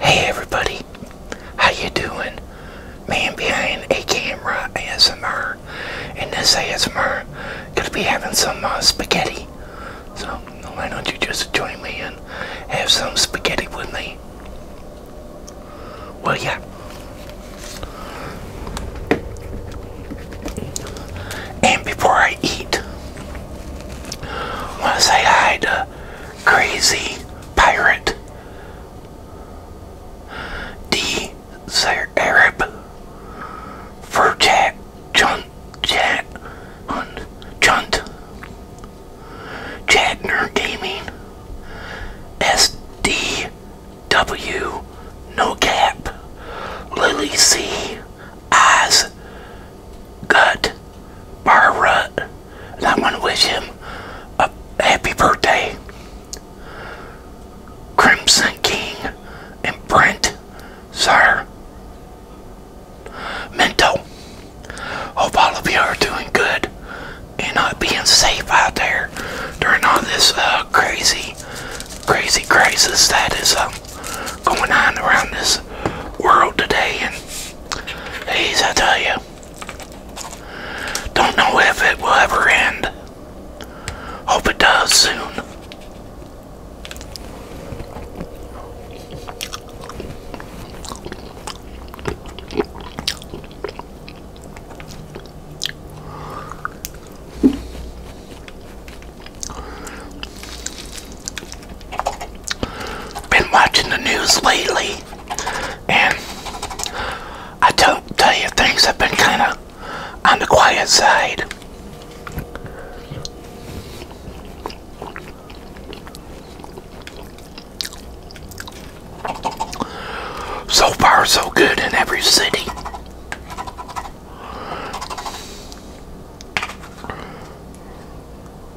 Hey everybody, how you doing? Man behind a camera ASMR, and this ASMR gonna be having some uh, spaghetti. So why don't you just join me and have some spaghetti with me? Well, yeah. And before I eat, want to say hi to crazy pirate. D. Arab Furchat Chunt Chunt Chatner Gaming SDW No Cap Lily C Oz Gut Barrut. And I want to wish him a happy birthday. Crimson King and Brent, sir. Mental. Hope all of you are doing good and not being safe out there during all this uh, crazy, crazy crisis that is um, going on around this world today, and geez, I tell you, don't know if it will ever end. Hope it does soon been watching the news lately, and I don't tell you, things have been kind of on the quiet side. So far, so good in every city.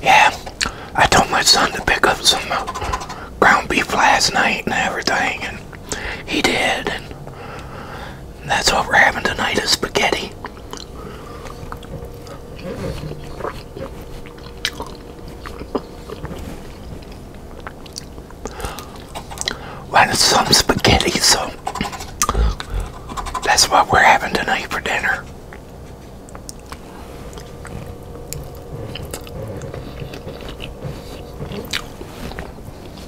Yeah, I told my son to pick up some uh, ground beef last night and everything, he did, and that's what we're having tonight is spaghetti. Well, some spaghetti, so that's what we're having tonight for dinner.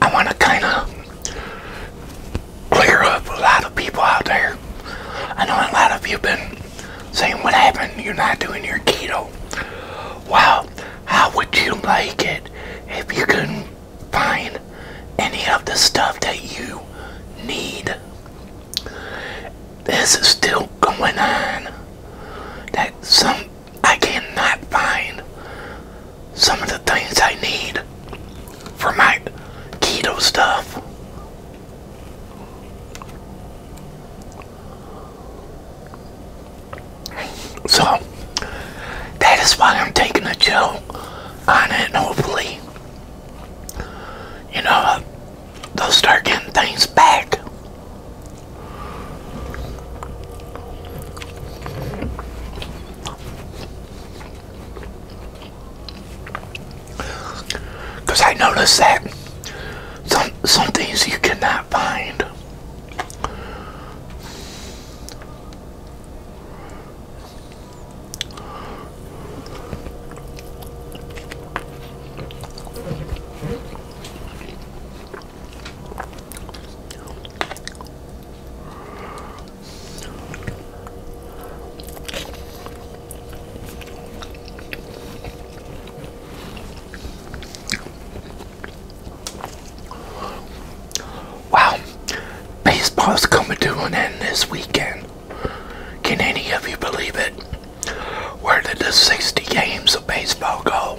I want to kind of clear up a lot of people out there. I know a lot of you have been saying, what happened? You're not doing your keto. Well, how would you like it if you couldn't find any of the stuff that you need? This is still going on. That some I cannot find some of the things I need for my keto stuff. So, that is why I'm taking a chill on it, hopefully, you know, they'll start getting things back. Because I noticed that some, some things you cannot find. Wow, baseball's coming to an end this weekend. Can any of you believe it? Where did the 60 games of baseball go?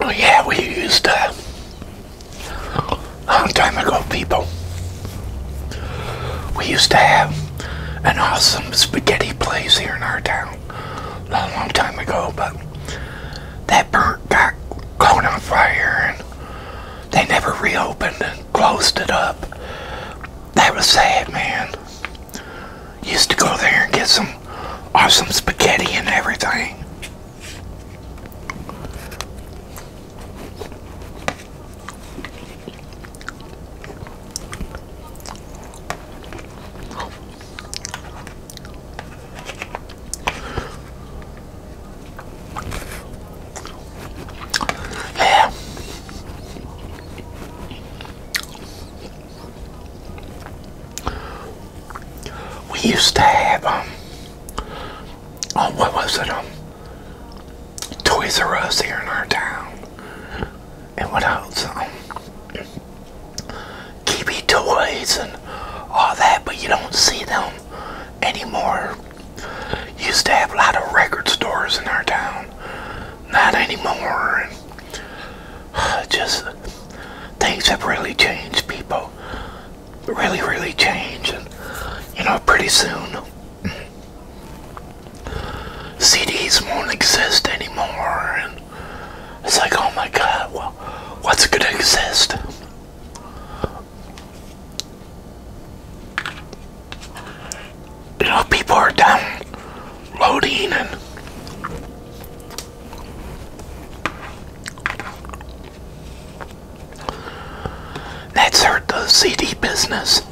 Oh yeah, we used to. Uh, long time ago, people. We used to have an awesome spaghetti place here in our town a long, long time ago, but that burnt got caught on fire and they never reopened and closed it up that was sad, man. Used to go there and get some awesome spaghetti and everything. Yeah. We used to have um oh what was it um Toys R Us here in our town and what else um Kiwi toys and all that but you don't see them anymore used to have a lot of record stores in our town. Not anymore. just things have really changed. People really, really changed. And, you know, pretty soon CDs won't exist anymore. And it's like, oh my God, well, what's going to exist? people are downloading and that's hurt the CD business.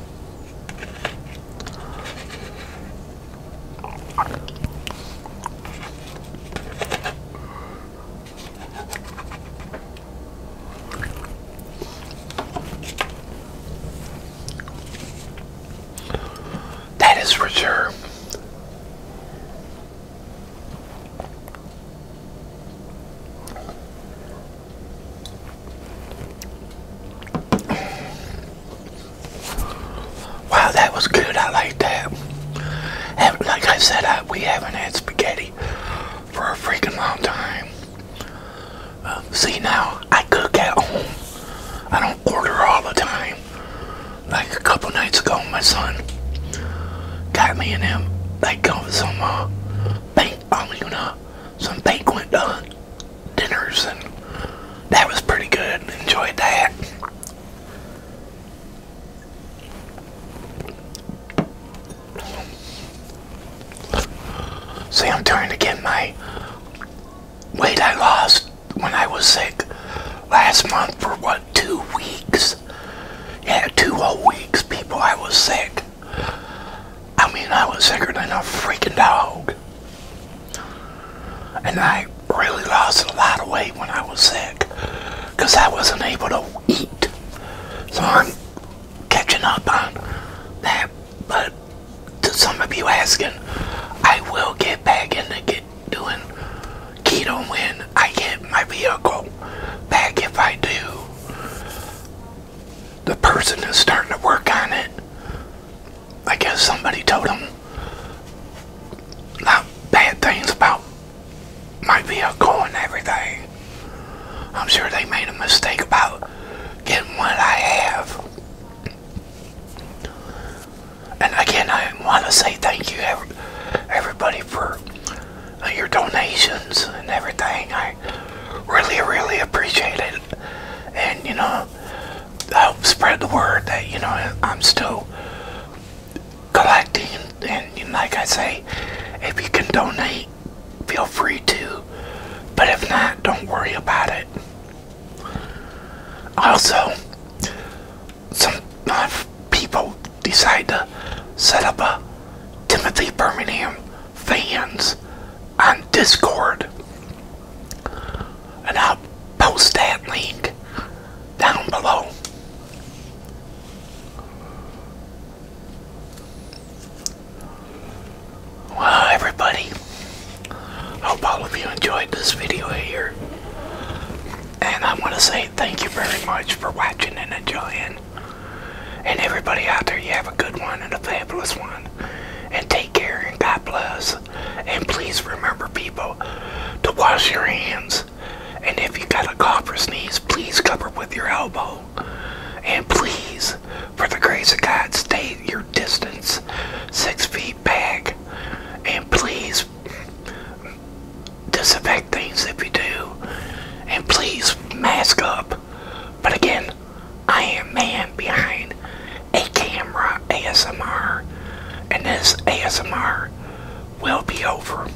That is for Wow, that was good. I like that. like I said, we haven't had spaghetti for a freaking long time see now, I cook at home. I don't order all the time. Like a couple nights ago, my son got me and him like going some uh, bank, um, banquet uh, dinners, and that was pretty good. Enjoyed that. See, I'm trying to get my weight I lost when I was sick last month for what, two weeks? Yeah, two whole weeks, people, I was sick. I mean, I was sicker than a freaking dog. And I really lost a lot of weight when I was sick because I wasn't able to eat. So I'm catching up on that, but to some of you asking, I will get back into get doing keto when I get my vehicle back. If I do, the person is starting to work on it. I guess somebody told him not bad things about my vehicle and everything. I'm sure they made a mistake about getting what I have. And again, I want to say thank you, everybody, for uh, your donations and everything. I really, really appreciate it. And, you know, help spread the word that, you know, I'm still collecting. And, and like I say, if you can donate, feel free to. But if not, don't worry about it. Also, some people decide to set up a Timothy Birmingham fans on Discord. And I'll post that link down below. Well, everybody, hope all of you enjoyed this video here. And I want to say thank you very much for watching and enjoying. And everybody out there, you have a good one and a fabulous one. And take care and God bless. And please remember, people, to wash your hands. And if you got a cough or sneeze, please cover with your elbow. And please, for the grace of God, stay your distance six feet back. And please disinfect things if you do. And please mask up. But again, I am man behind a camera ASMR. And this ASMR will be over.